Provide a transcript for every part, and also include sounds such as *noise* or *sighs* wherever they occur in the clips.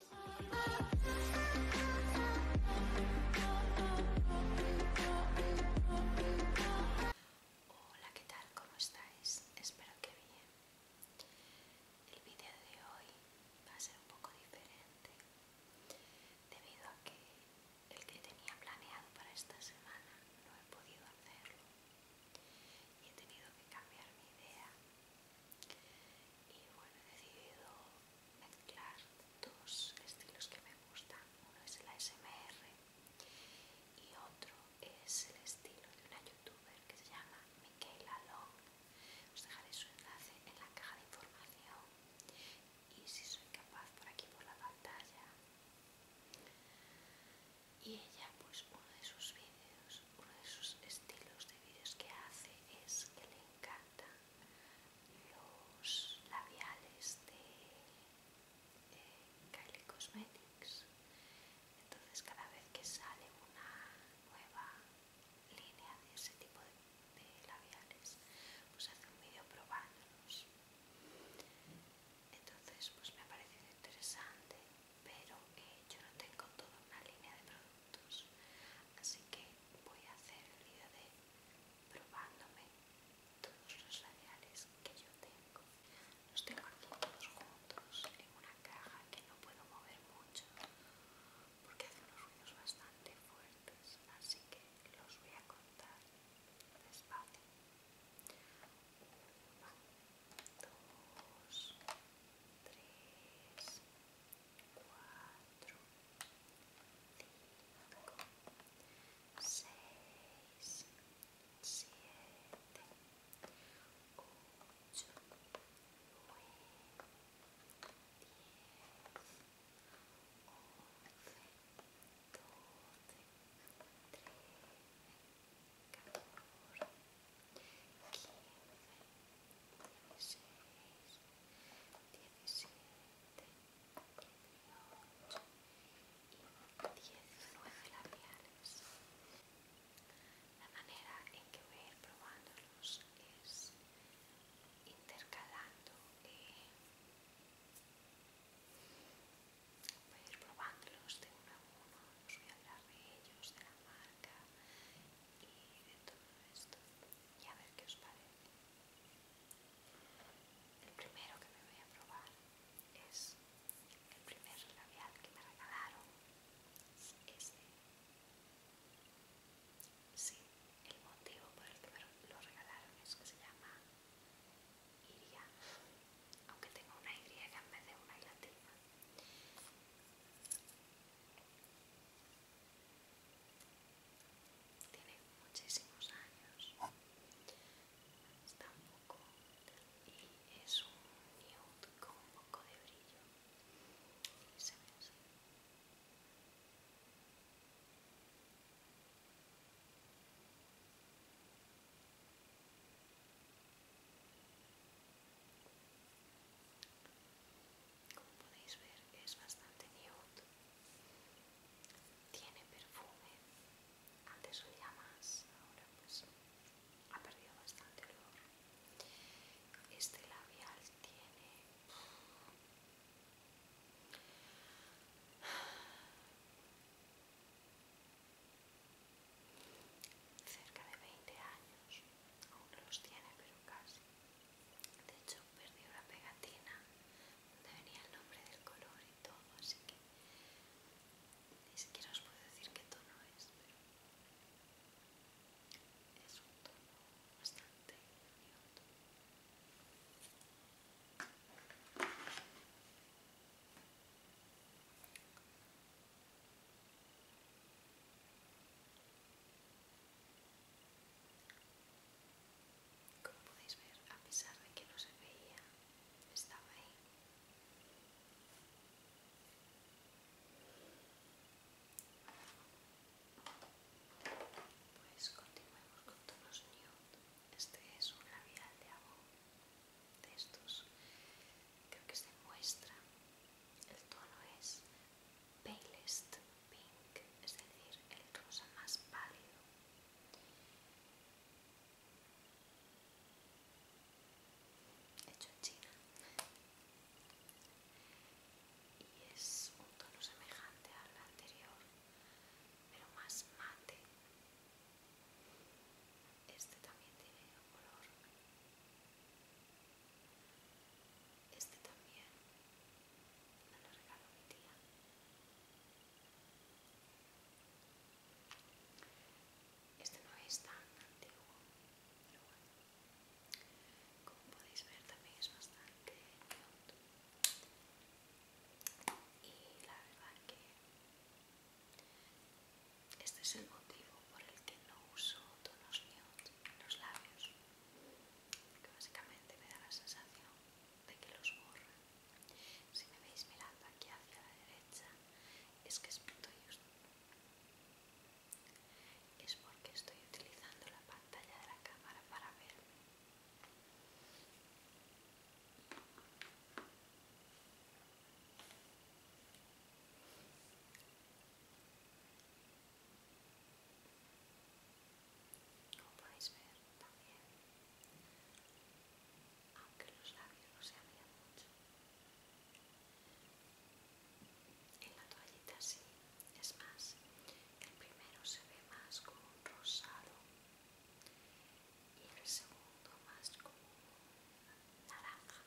Hola, ¿qué tal? ¿Cómo estáis? Espero que bien. El vídeo de hoy va a ser un poco diferente debido a que el que tenía planeado para esta semana no he podido hacerlo y he tenido que cambiar mi idea y bueno he decidido mezclar dos estilos que me gustan uno es el ASMR y otro es el estilo de una youtuber que se llama Michaela Long os dejaré su enlace en la caja de información y si soy capaz por aquí por la pantalla y ella pues uno de sus vídeos uno de sus estilos de vídeos que hace es que le encantan los labiales de eh, Kylie Cosmetics. Entonces cada vez que sale una nueva línea de ese tipo de, labiales, pues hace un vídeo probándolos. Entonces pues me ha parecido interesante, pero eh, yo no tengo toda una línea de productos así que voy a hacer el vídeo de probándome todos los labiales que yo tengo los tengo aquí todos juntos en una caja que no puedo mover mucho porque hace unos ruidos bastante fuertes así que los voy a contar despacio Uno, dos, tres, cuatro, cinco, seis, siete, ocho, nueve, diez, doce, trece, quince dieciséis, diecisiete, dieciocho y diecinueve labiales. La manera en que voy a ir probándolos es intercalando, voy a ir probándolos de uno a uno, voy a hablar de ellos, de la marca y de todo esto y a ver qué os parece. El primero que me voy a probar es el primer labial que me regalaron. Sí, el motivo por el que me lo regalaron es que se llama Iria, aunque tengo una Y en vez de una latina. Tiene muchísimos años. Está un poco y es un nude con un poco de brillo como podéis ver es bastante nude tiene perfume antes olía más ahora pues ha perdido bastante olor este labial tiene *sighs* cerca de 20 años aún los tiene pero casi de hecho, perdí una pegatina donde venía el nombre del color y todo, así que ni siquiera os puedo decir qué tono es, pero es un tono bastante como podéis ver, a pesar de que no se veía, estaba ahí. Pues continuemos con tonos nude. Este es un labial de agua de estos. Creo que se muestra. El tono es palest pink, es decir, el rosa más pálido. Hecho en China. Y es un tono semejante al anterior, pero más mate. Este también tiene color este también me lo regaló mi tía. Este no es tan antiguo, pero bueno. Como podéis ver también es bastante Y la verdad que este es el motivo por el que no uso tonos míos en los labios básicamente me da la sensación de que los borra. Si me veis mirando aquí hacia la derecha, es que estoy, es porque estoy utilizando la pantalla de la cámara para verme. Como podéis ver también, aunque los labios no se abrían mucho, en la toallita sí, es más, el primero se ve más como un rosado y el segundo más como naranja.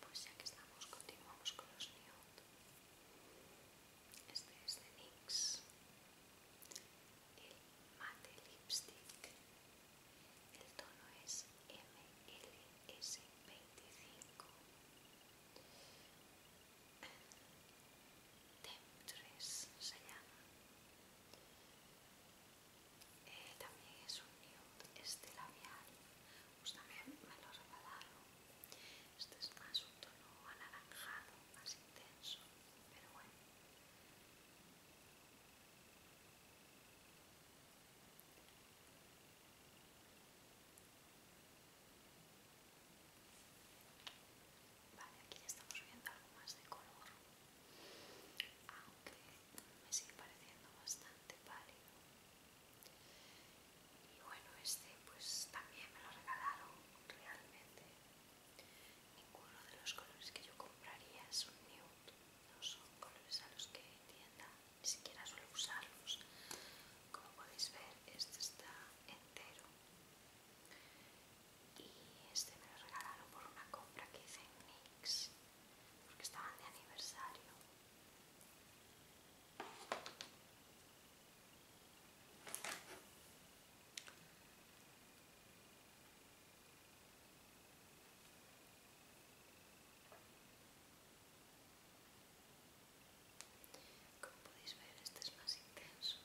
Pues ya que estamos, continuamos con los nude. Este es de NYX, el mate lipstick. El tono es MLS25 se llama. Eh, también es un nude este labial, pues también me lo regalaron. Este es más un tono anaranjado, más intenso, pero bueno. Vale, aquí ya estamos viendo algo más de color, aunque me sigue pareciendo bastante pálido. Y bueno, este pues también me lo regalaron realmente. Ninguno de los colores que yo compraría es un nude, no son colores a los que tienda, ni siquiera suelo usarlos. Como podéis ver, este está entero y este me lo regalaron por una compra que hice en Mix porque estaban de aniversario como podéis ver este es más intenso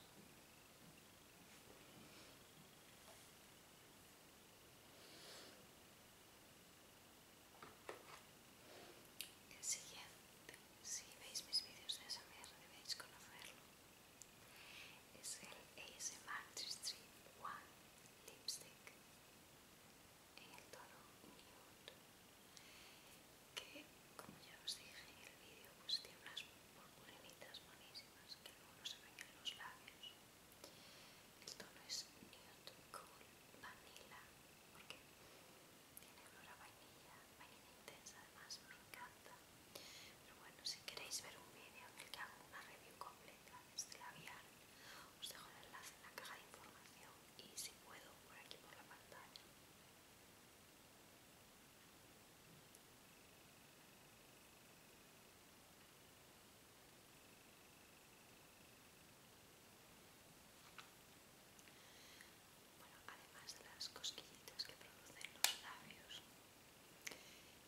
el siguiente, si veis mis vídeos de SMR debéis conocerlo, es el ASMR Street One Lipstick en el tono nude, que como ya os dije en el vídeo pues tiene unas purpurinitas buenísimas que luego no se ven en los labios. El tono es Nude Cool Vanilla porque tiene olor a vainilla, vainilla intensa además, me encanta. Pero bueno, si queréis ver un vídeo en el que hago una review completa de este labial, os dejo el enlace en la caja de información y si puedo por aquí por la pantalla además de las cosquillitas que producen los labios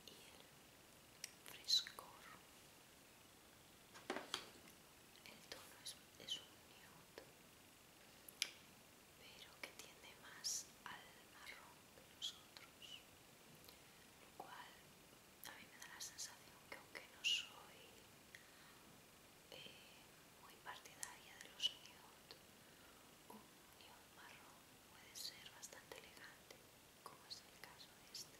y el frescor, el tono es, es un pero que tiende más al marrón que los otros, lo cual a mí me da la sensación que aunque no soy eh, muy partidaria de los nude, un nude marrón puede ser bastante elegante, como es el caso este.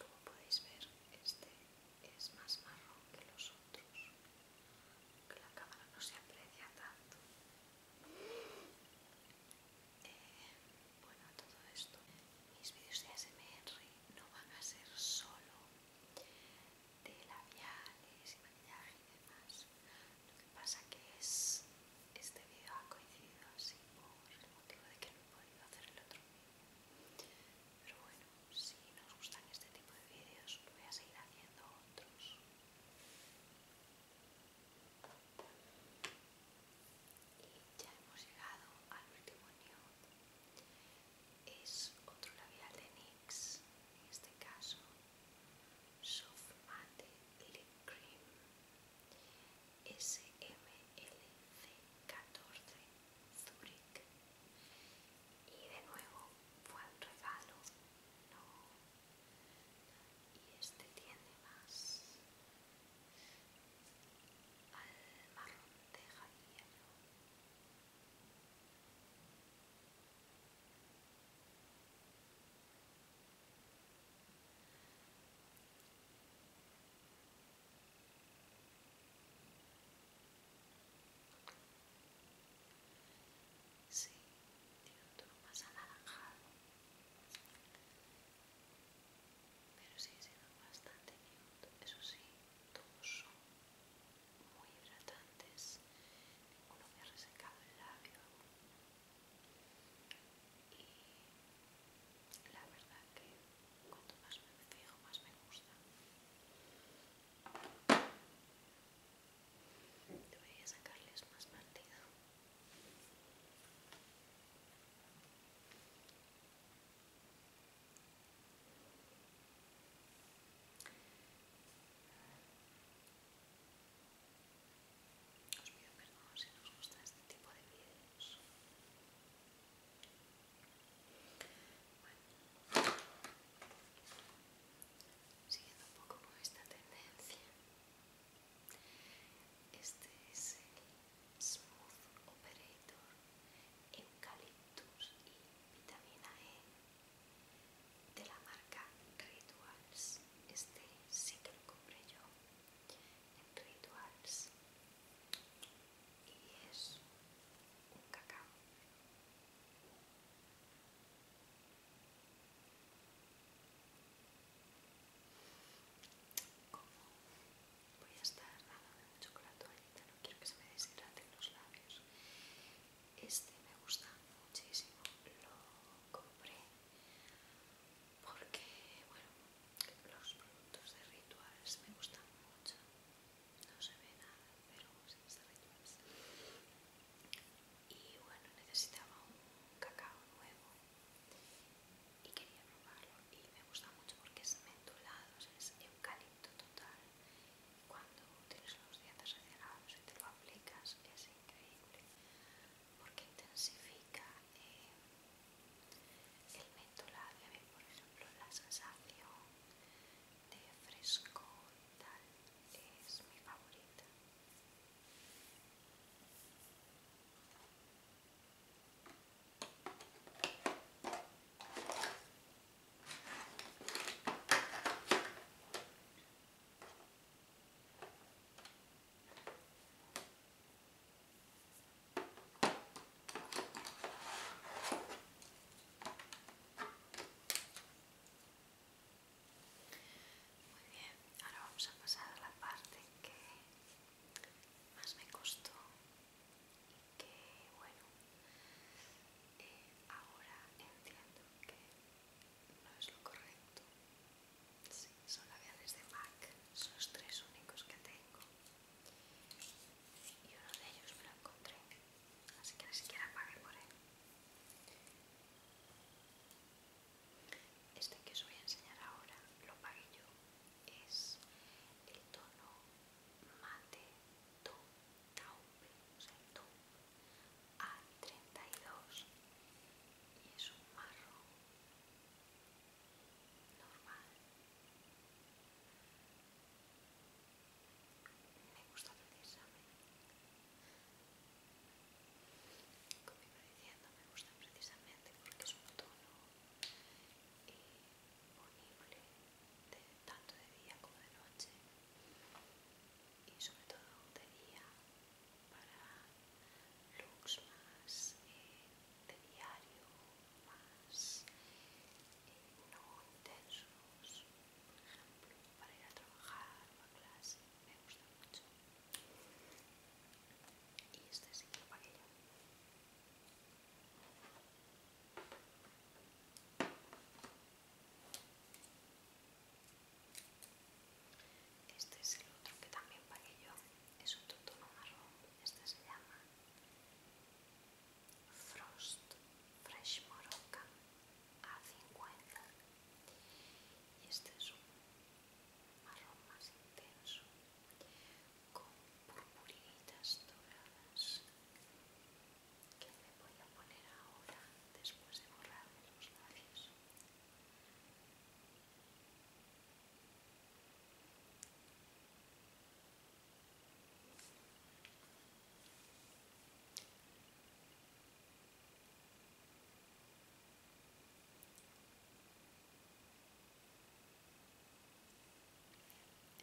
Como podéis ver, este es más marrón que los otros, que la cámara no se aprecia tanto. Eh, bueno, todo esto, mis vídeos de Henry no van a ser solo de labiales y maquillaje y demás. Lo que pasa que es este vídeo ha coincidido así por el motivo de que no he podido hacer el otro vídeo. Pero bueno, si nos gustan este tipo de vídeos voy a seguir haciendo otros. Y ya hemos llegado al último nude. Es otro labial de NYX, en este caso Soft Matte Lip Cream SMLC14 Zurich y de nuevo fue un regalo no y este tiene más al marrón de Javier Sí, tiene un tono más anaranjado, pero sigue siendo bastante mío, Eso sí, todos son muy hidratantes, ninguno me ha resecado el labio y la verdad que cuanto más me fijo más me gusta. Debería sacarles más partido. Os pido perdón si nos os este tipo de vídeos. Bueno, siguiendo un poco con esta tendencia, este es el Smooth Operator Eucaliptus y Vitamina E de la marca Rituals. Este sí que lo compré yo en Rituals y es un cacao. voy a estar nada de chocolate, no quiero que se me deshidraten los labios este me gusta muchísimo. Lo compré porque, bueno, los productos de rituales me gustan mucho. No se ve nada, pero sí es de Y bueno, necesitaba un cacao nuevo y quería probarlo. Y me gusta mucho porque es mentolado, es eucalipto total cuando tienes los dientes acelerados y te lo aplicas es increíble porque intensifica eh, el mentolado por ejemplo la sensación de fresco tal es mi favorita muy bien, ahora vamos a pasar a la parte que más me costó y que, bueno, eh, ahora entiendo que no es lo correcto. Sí, son labiales de MAC, son los tres únicos que tengo. Y uno de ellos me lo encontré, así que ni siquiera pagué por él. Este que os voy a enseñar ahora lo pagué yo. Es el tono mate, tú. Taube, o el A32 y es un marrón normal. Me gusta precisamente, como iba diciendo, me gusta precisamente porque es un tono ponible tanto de día como de noche y sobre todo de día para looks más eh, de diario, más eh, no intensos, por ejemplo, para ir a trabajar o a clase, me gusta mucho. Y este sí que lo yo. Este es el otro que también pagué yo, es otro tono marrón, este se llama Frost Fresh Moroccan A50 y este es un marrón más intenso con purpuritas doradas que me voy a poner ahora después de borrarme los labios.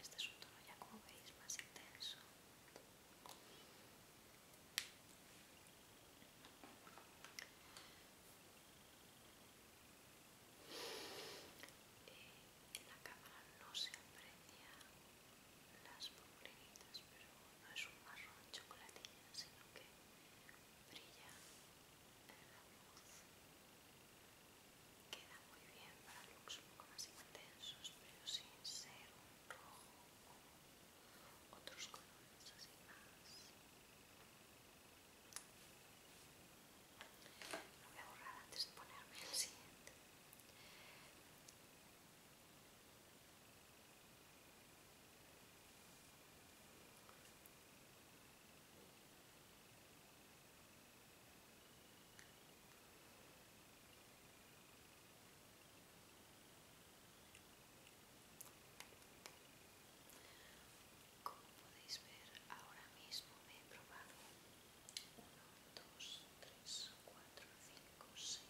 Este es un tono ya como veis más intenso, en la cámara no se aprecia las pulgueritas, pero no es un marrón chocolatina, sino que brilla la luz. Queda muy bien para looks un poco más intensos, pero sin ser un rojo otros colores así más lo voy a borrar antes de ponerme el siguiente como podéis ver, ahora mismo me he probado 1, 2, 3, 4, 5, 6,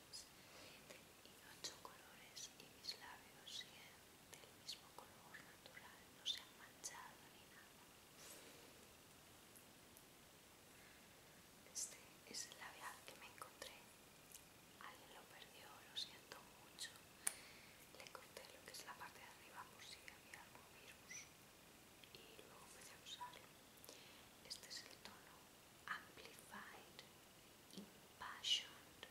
7 y 8 colores y mis labios siguen del mismo color natural, no se han manchado ni nada. Este es el labial que me encontré Alguien lo perdió, lo siento mucho. Le corté lo que es la parte de arriba por si había algún virus y luego empecé a usar Este es el tono Amplified Impassioned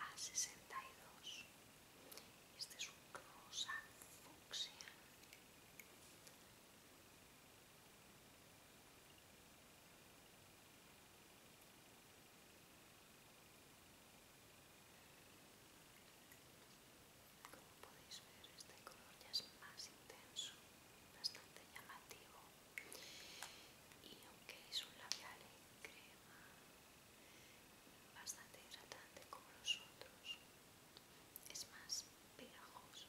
A62. Este es un rosa fucsia. Como podéis ver, este color ya es más intenso, bastante llamativo. Y aunque es un labial en crema, bastante hidratante como los otros, es más pegajoso.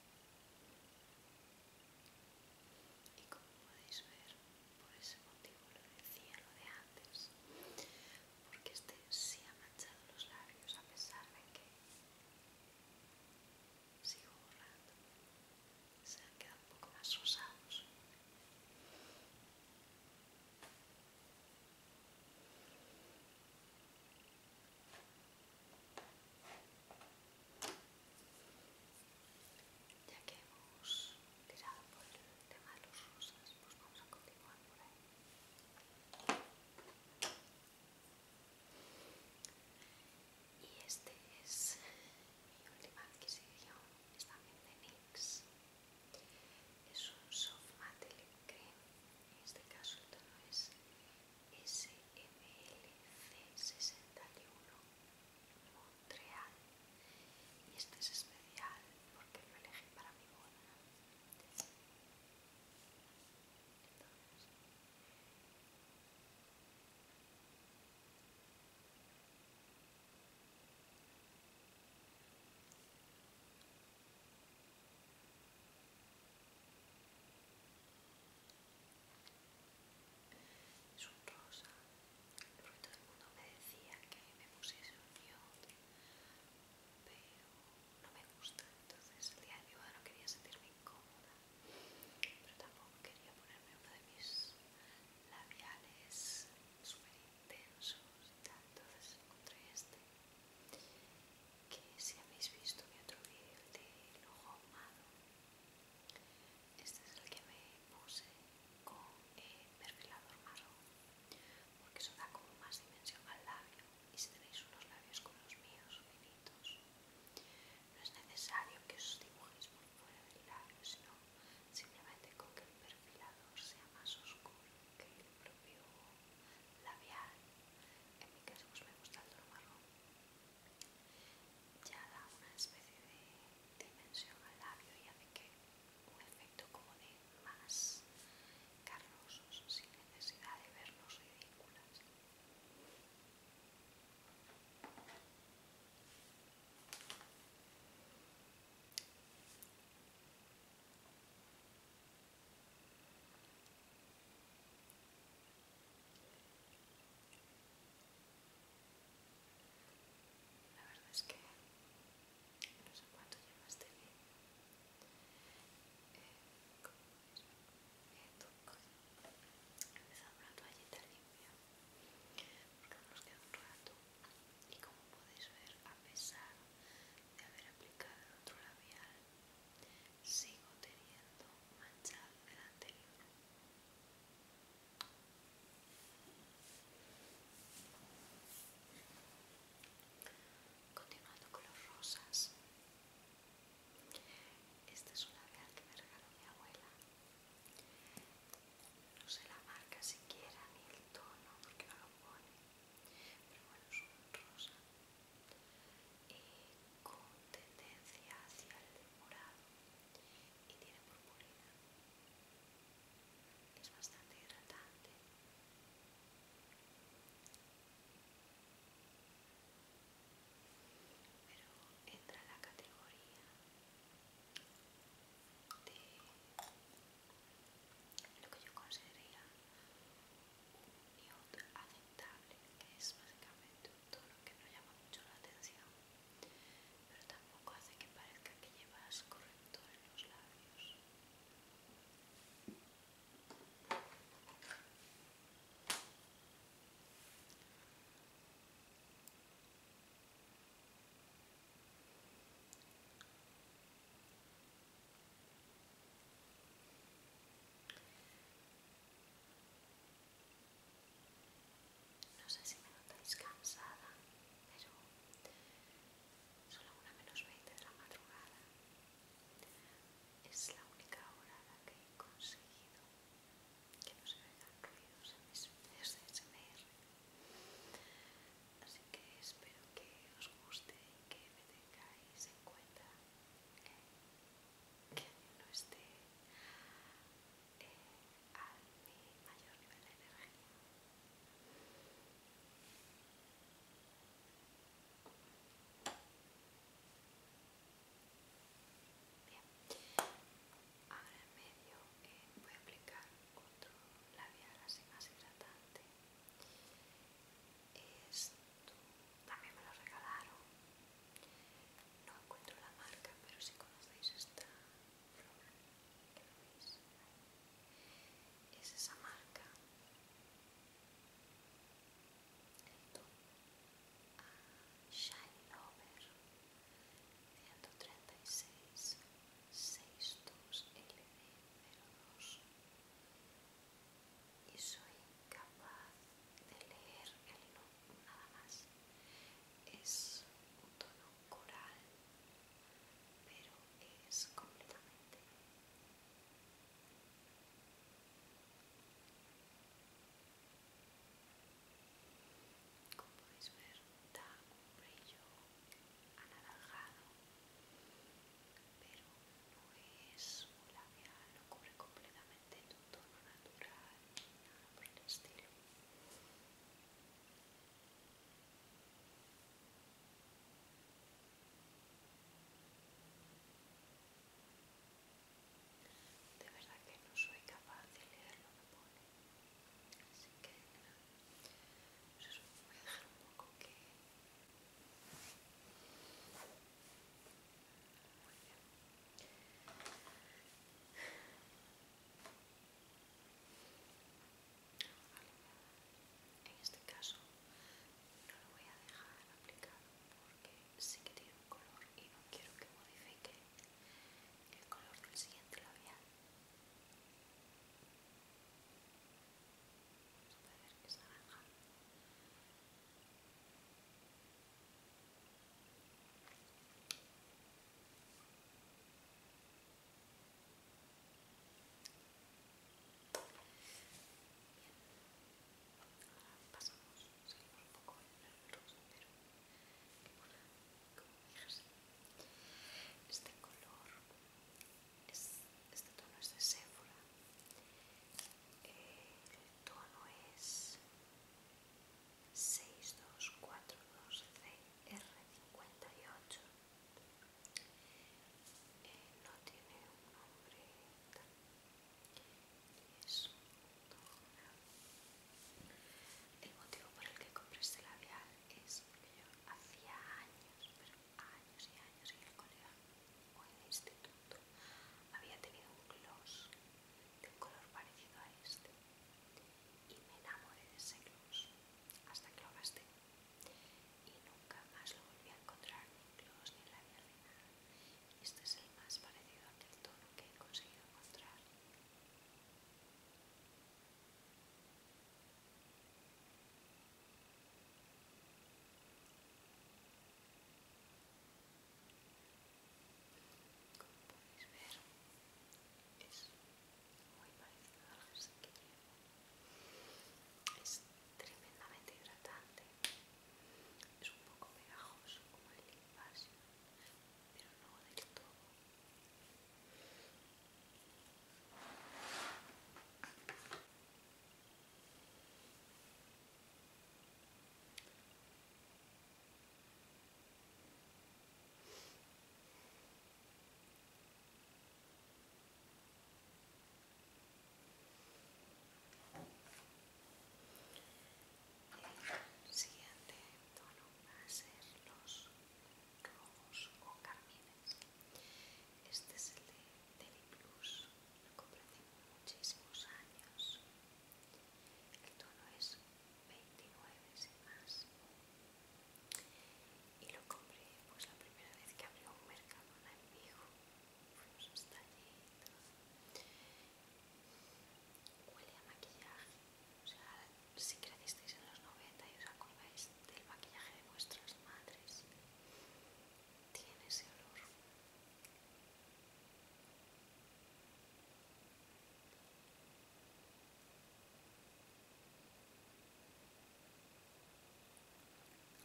Y como podéis ver, por ese motivo lo decía lo de antes, porque este sí ha manchado los labios a pesar de que sigo borrando, se han quedado un poco más rosados. Ya que hemos tirado por el tema de los rosas, pues vamos a continuar por ahí. Y este es mi última adquisición, es también de NYX. Es un soft matte lip cream, en este caso el tono es SMLC61 Montreal y este es especial porque lo elegí para mi boda es un rosa, porque todo el mundo me decía que me pusiese un pero no me gusta, entonces el día de hoy no quería sentirme incómoda, pero tampoco quería ponerme uno de mis labiales super intensos y tal, entonces encontré este, que si habéis visto mi otro vídeo de ojo ahumado, este es el que me puse con perfilador marrón, porque eso da como más dimensión al labio. Y si tenéis unos labios como los míos, finitos, no es necesario que os dibujéis por fuera del labio, sino simplemente con que el perfilador sea más oscuro que el propio labial. En mi caso, pues me gusta el tono marrón ya da una especie de dimensión al labio y hace que un efecto como de más carnosos sin necesidad de vernos ridículas. La verdad es que no sé cuánto lleva eh, este eh, vídeo. como podéis ver, una toallita limpia porque nos queda un rato y como podéis ver, a pesar de haber aplicado el otro labial, sigo teniendo manchado del anterior. Continuando con los rosas. Esta es una real que me regaló mi abuela. No sé la marca siquiera ni el tono porque no lo pone. Pero bueno, es un rosa. Y eh, con tendencia hacia el morado y tiene purpurina. Es bastante hidratante. Pero entra en la categoría de lo que yo consideraría un nude aceptable, que es básicamente que no llama mucho la atención, pero tampoco hace que parezca que llevas corrector en los labios. No sé si me notáis cansada, pero solo una menos veinte de la madrugada. Es la única hora la que he conseguido que no se vean ruidos en mis videos Así que espero que os guste y que me tengáis en cuenta que no esté eh, al mi mayor nivel de energía. Bien, ahora en medio eh, voy a aplicar otro labial así más hidratante. Esto también me lo regalaron no encuentro la marca, pero si conocéis esta flor, es esa marca. Esto, a Shine Lover, 136 62 02 y soy capaz de leer el nombre nada más. Es un tono coral, pero es completamente como podéis ver da un brillo anaranjado pero no es un labial, lo cubre completamente de tu tono natural, nada por el estilo. De verdad que no soy capaz de leer lo que pone, así que nada, pues voy a dejar un poco que... En este caso no lo voy a dejar aplicado porque sí que tiene un color y no quiero que modifique el color del siguiente labial. a ver Pasamos, seguimos un poco en el rosa, pero como fijas, este color, es, este tono es de eh, Sephora, el tono es 6242CR58. Eh, no tiene un nombre El motivo por el que compré este labial es que yo hacía años, pero años y años en el colegio o en el instituto había tenido un gloss de un color parecido a este y me enamoré de ese gloss hasta que lo gasté y nunca más lo volví a encontrar ni en gloss ni en labial este es el más parecido a tono que he conseguido encontrar como podéis ver, es muy parecido al jersey que Es tremendamente hidratante. Es un poco pegajoso como el invasio, pero no del todo. El siguiente tono va a ser los rojos o carmines. Este es el de lo compré hace muchísimos años. El tono es 29 más. y lo compré pues la primera vez que abrió un mercadona en vivo fuimos hasta allí huele a maquillaje o sea si crecisteis en los 90 y os acordáis del maquillaje de vuestras madres tiene ese olor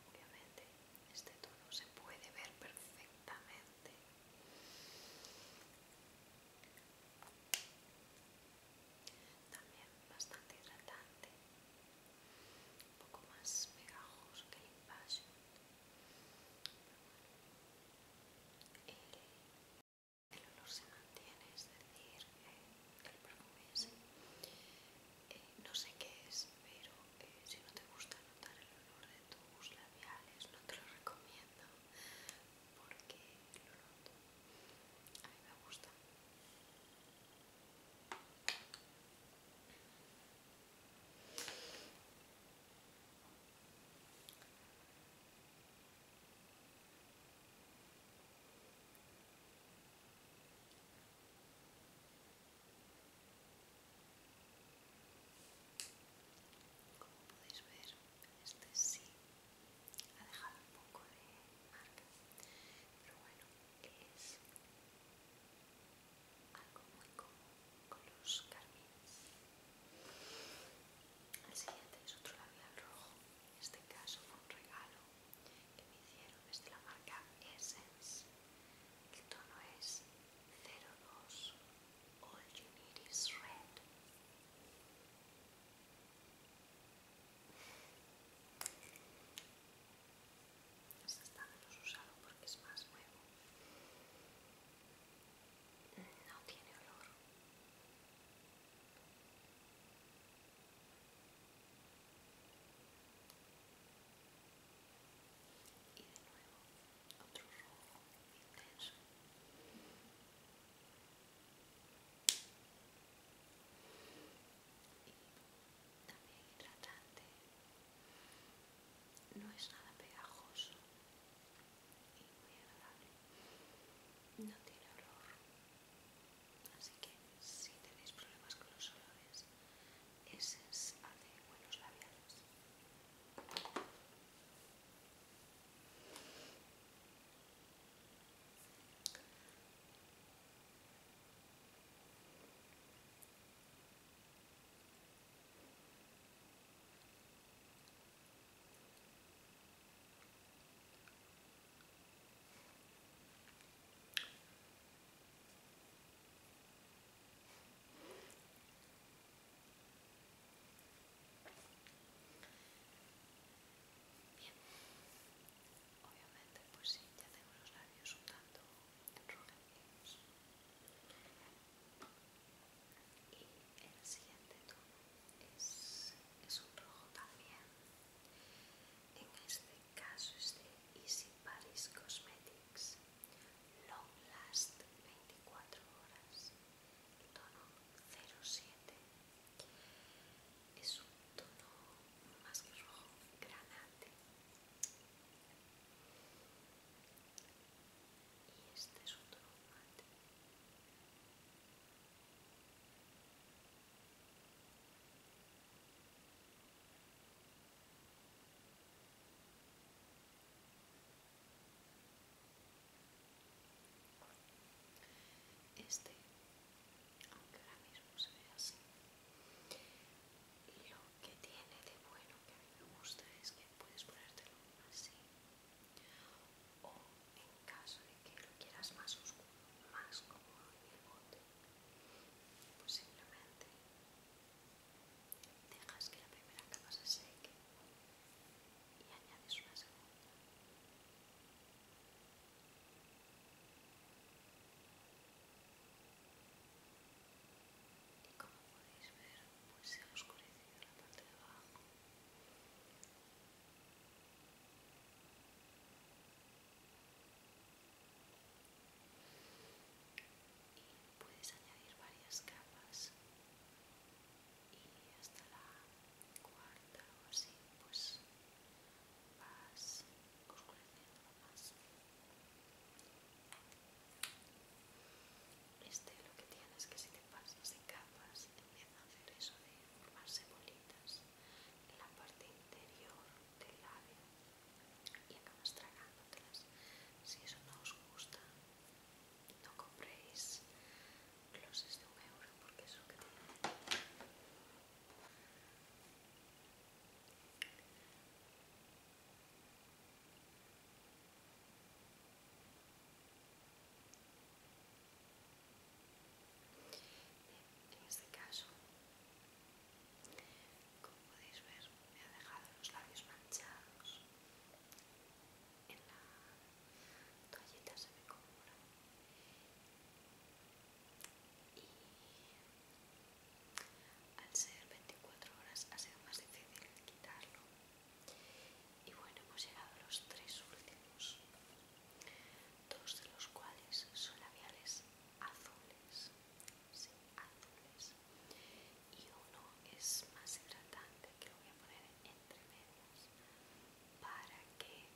Obviamente este tono se puede ver perfectamente. También bastante hidratante, un poco más pegajoso que el el olor se mantiene, es decir, el perfume eh, no sé qué es, pero eh, si no te gusta notar el olor de tus labiales, no te lo recomiendo porque lo noto. A mí me gusta. Como podéis ver, este sí ha dejado un poco de marca, pero bueno, es algo muy común con los carmines. El siguiente es otro labial rojo. En este caso fue un regalo que me hicieron. Es de la marca Essence. El tono es 02 All You Need Is Red. Este está menos usado porque es más nuevo. No tiene olor. Y de nuevo otro rojo intenso. Y también hidratante. No es nada pegajoso muy No tiene olor. Así que si tenéis problemas con los olores, ese es buenos labiales. Bien, obviamente pues sí, ya tengo los labios un tanto y el siguiente tono es, un rojo también en este caso es de Easy Paris Cosmetics Long Last 24 horas tono 07 es un tono más que rojo granate y este es un tono mate este, aunque ahora mismo se ve así, lo que tiene de bueno que a mí me gusta es que puedes ponértelo así o en caso de que lo quieras más oscuro, más como el bote, pues simplemente dejas que la primera capa se seque y añades una segunda. Y como podéis ver, pues se ha oscurecido la parte de abajo y puedes añadir varias capas y hasta la cuarta o así pues vas oscureciendo más este lo que tienes que si te pasas en capas a hacer eso de formarse bolitas en la parte interior del labio y acabas tragándotelas. Si eso no os gusta, no compréis glosses de un euro porque eso que en este caso, como podéis ver, me ha dejado los labios manchados. En la toallita se me cobra. Y al ser 24 horas ha sido más difícil quitarlo. Y bueno, hemos llegado a los tres últimos, dos de los cuales son labiales azules, sí, azules, y uno es más hidratante que lo voy a poner entre medias para que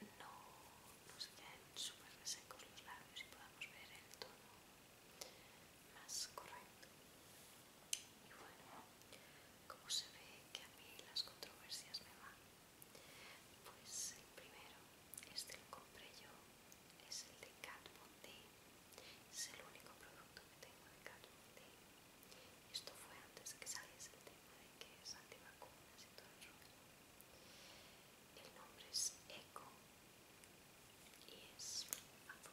no, nos se queden súper resecos los labios y podamos ver el tono más correcto. Y bueno, como se ve que a mí las controversias me van, pues el primero, este lo compré yo, es el de Kat Es el único producto que tengo de Kat Esto fue antes de que saliese el tema de que es antivacunas y todo el El nombre es Eco y es azul.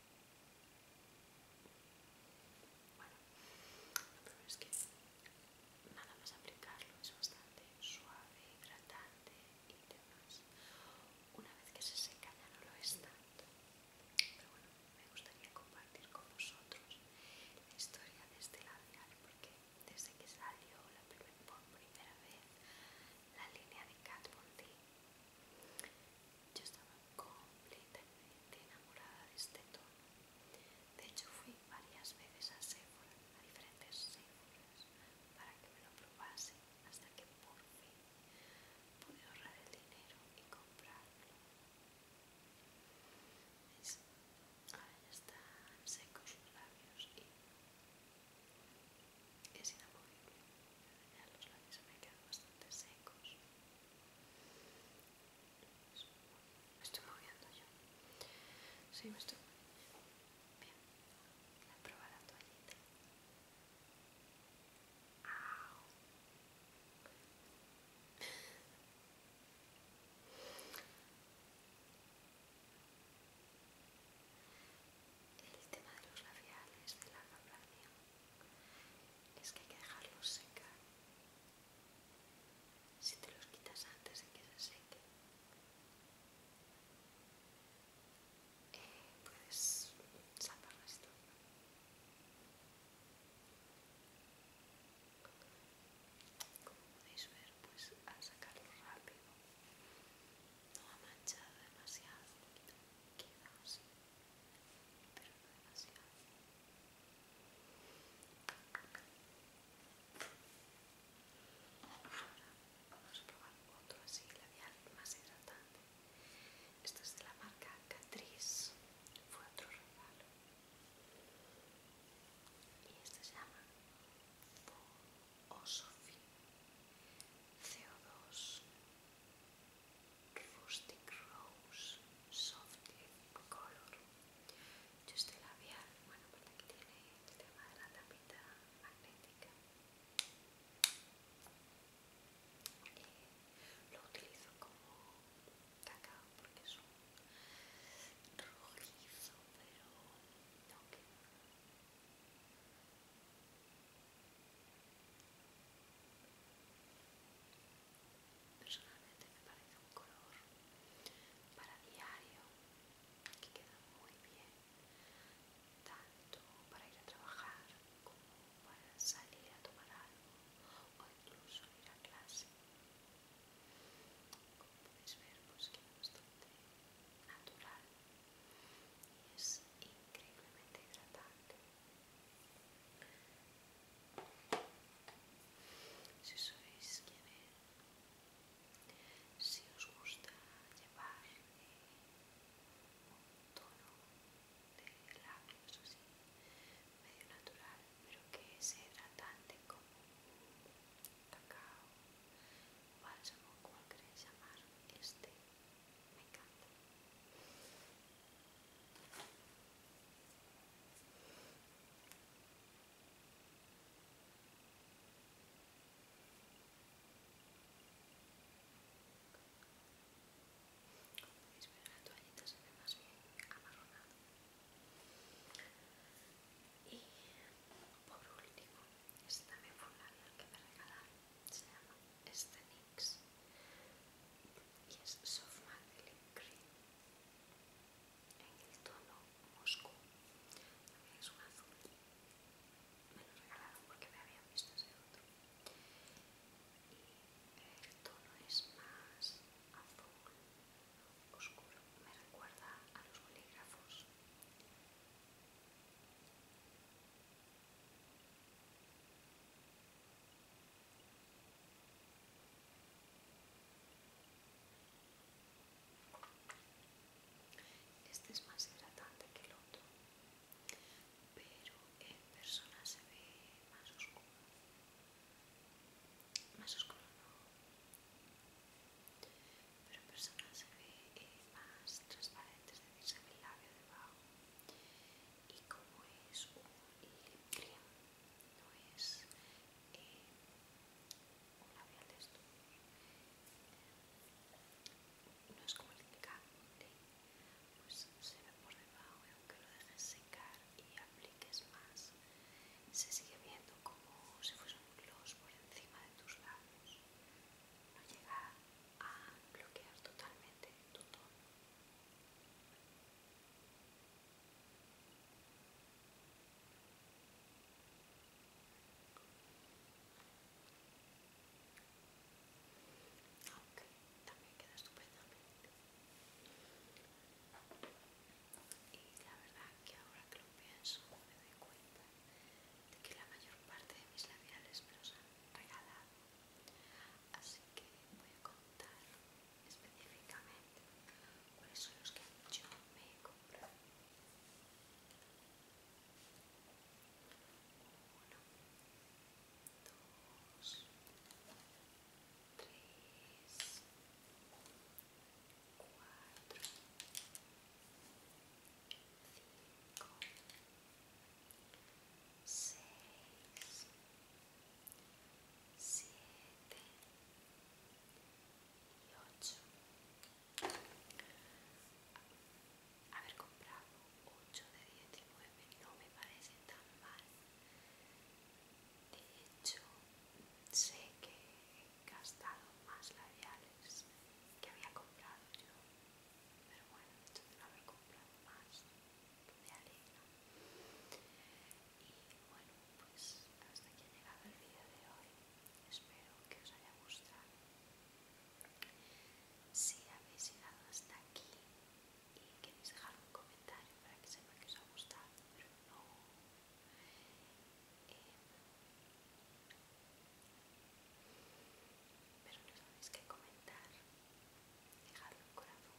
Bueno, lo peor es que nada más aplicarlo es bastante suave, hidratante y demás. Una vez que se seca ya no lo es tanto. Pero bueno, me gustaría compartir con vosotros la historia de este labial porque desde que salió la por primera vez la línea de Kat yo estaba completamente enamorada de este tono. De hecho, fui varias veces a Sephora, a diferentes Sephoras, para que me lo probase, hasta que por fin pude ahorrar el dinero y comprarlo. Ahora ya están secos los labios y es inamovible. los labios se me quedan bastante secos. Me estoy moviendo yo. Sí, me estoy moviendo. Bien. La prueba la toallita. Au. *laughs* El tema de los labiales, de la vibración es que hay que dejarlos secar. Si te los quitas antes de que se seque, eh, puedes sacarlas la Como podéis ver, pues al sacarlo rápido no ha manchado demasiado, queda así. Vamos a probar otro así labial más hidratante. Esto es de la marca Catrice. Fue otro regalo. Y este se llama Osofi CO2 Rustic Rose Soft Color. Yo este labial, bueno, porque tiene la tapita magnética. lo utilizo como cacao porque es un rojizo, pero no Personalmente me parece un color para diario que queda muy bien, tanto para ir a trabajar como para salir a tomar algo o incluso ir a clase. Como podéis ver, pues queda bastante natural y es increíblemente hidratante. Si si os gusta llevar un tono de labios así, medio natural, pero que sea hidratante como cacao, bálsamo, cual queréis llamar, este me encanta. Podéis ver la toallita se ve más bien amarronada. Y por último, este también fue un que me regalaron. Se llama este niño y es Soft Matte en el tono Moscú también es un azul me lo regalaron porque me había visto ese otro el tono es más azul oscuro me recuerda a los bolígrafos este es más hidratante que el otro, pero en persona se ve más oscuro. Más oscuro no, pero en persona se ve eh, más transparente, es decir, se ve el labio debajo y como es un lip cream no es un labial de no es como el pues se ve por debajo y aunque lo dejes secar y apliques más se sigue viendo como si fuese un gloss por encima de tus labios no llega a bloquear totalmente tu tono aunque también queda estupendo. Y la verdad que ahora que lo pienso me doy cuenta de que la mayor parte de mis labiales me los han regalado Así que voy a contar específicamente cuáles son los que yo me he comprado. 1, 2, 3, 4, 5, 6. 7 y 8, haber comprado 8 de 19 no me parece tan mal de hecho sé que he gastado más labiales que había comprado yo pero bueno entonces hecho no haber comprado más me Y bueno, pues hasta aquí ha llegado el vídeo de hoy. Espero que os haya gustado. Si habéis llegado hasta aquí y queréis dejar un comentario para que sepa que os ha gustado, pero no. Eh, pero no sabéis qué comentar dejarlo un corazón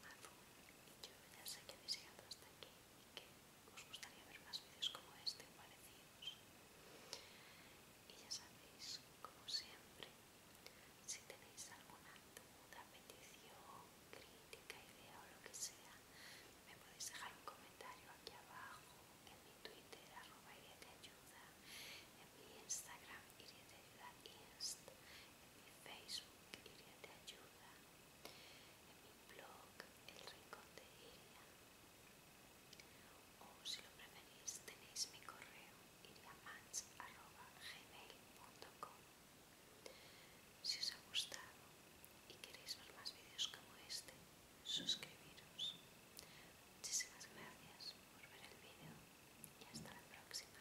y yo ya sé que habéis llegado hasta aquí y que os gustaría ver más vídeos como este o parecidos y ya sabéis como siempre si tenéis alguna duda, petición, crítica, idea o lo que sea me podéis dejar un comentario aquí abajo en mi twitter arroba ayuda en mi instagram iria ayuda inst mi Facebook Iria te ayuda, en mi blog El Rincón de Iria, o si lo preferís tenéis mi correo iriamans.gmail.com Si os ha gustado y queréis ver más vídeos como este, suscribiros. Muchísimas gracias por ver el vídeo y hasta la próxima.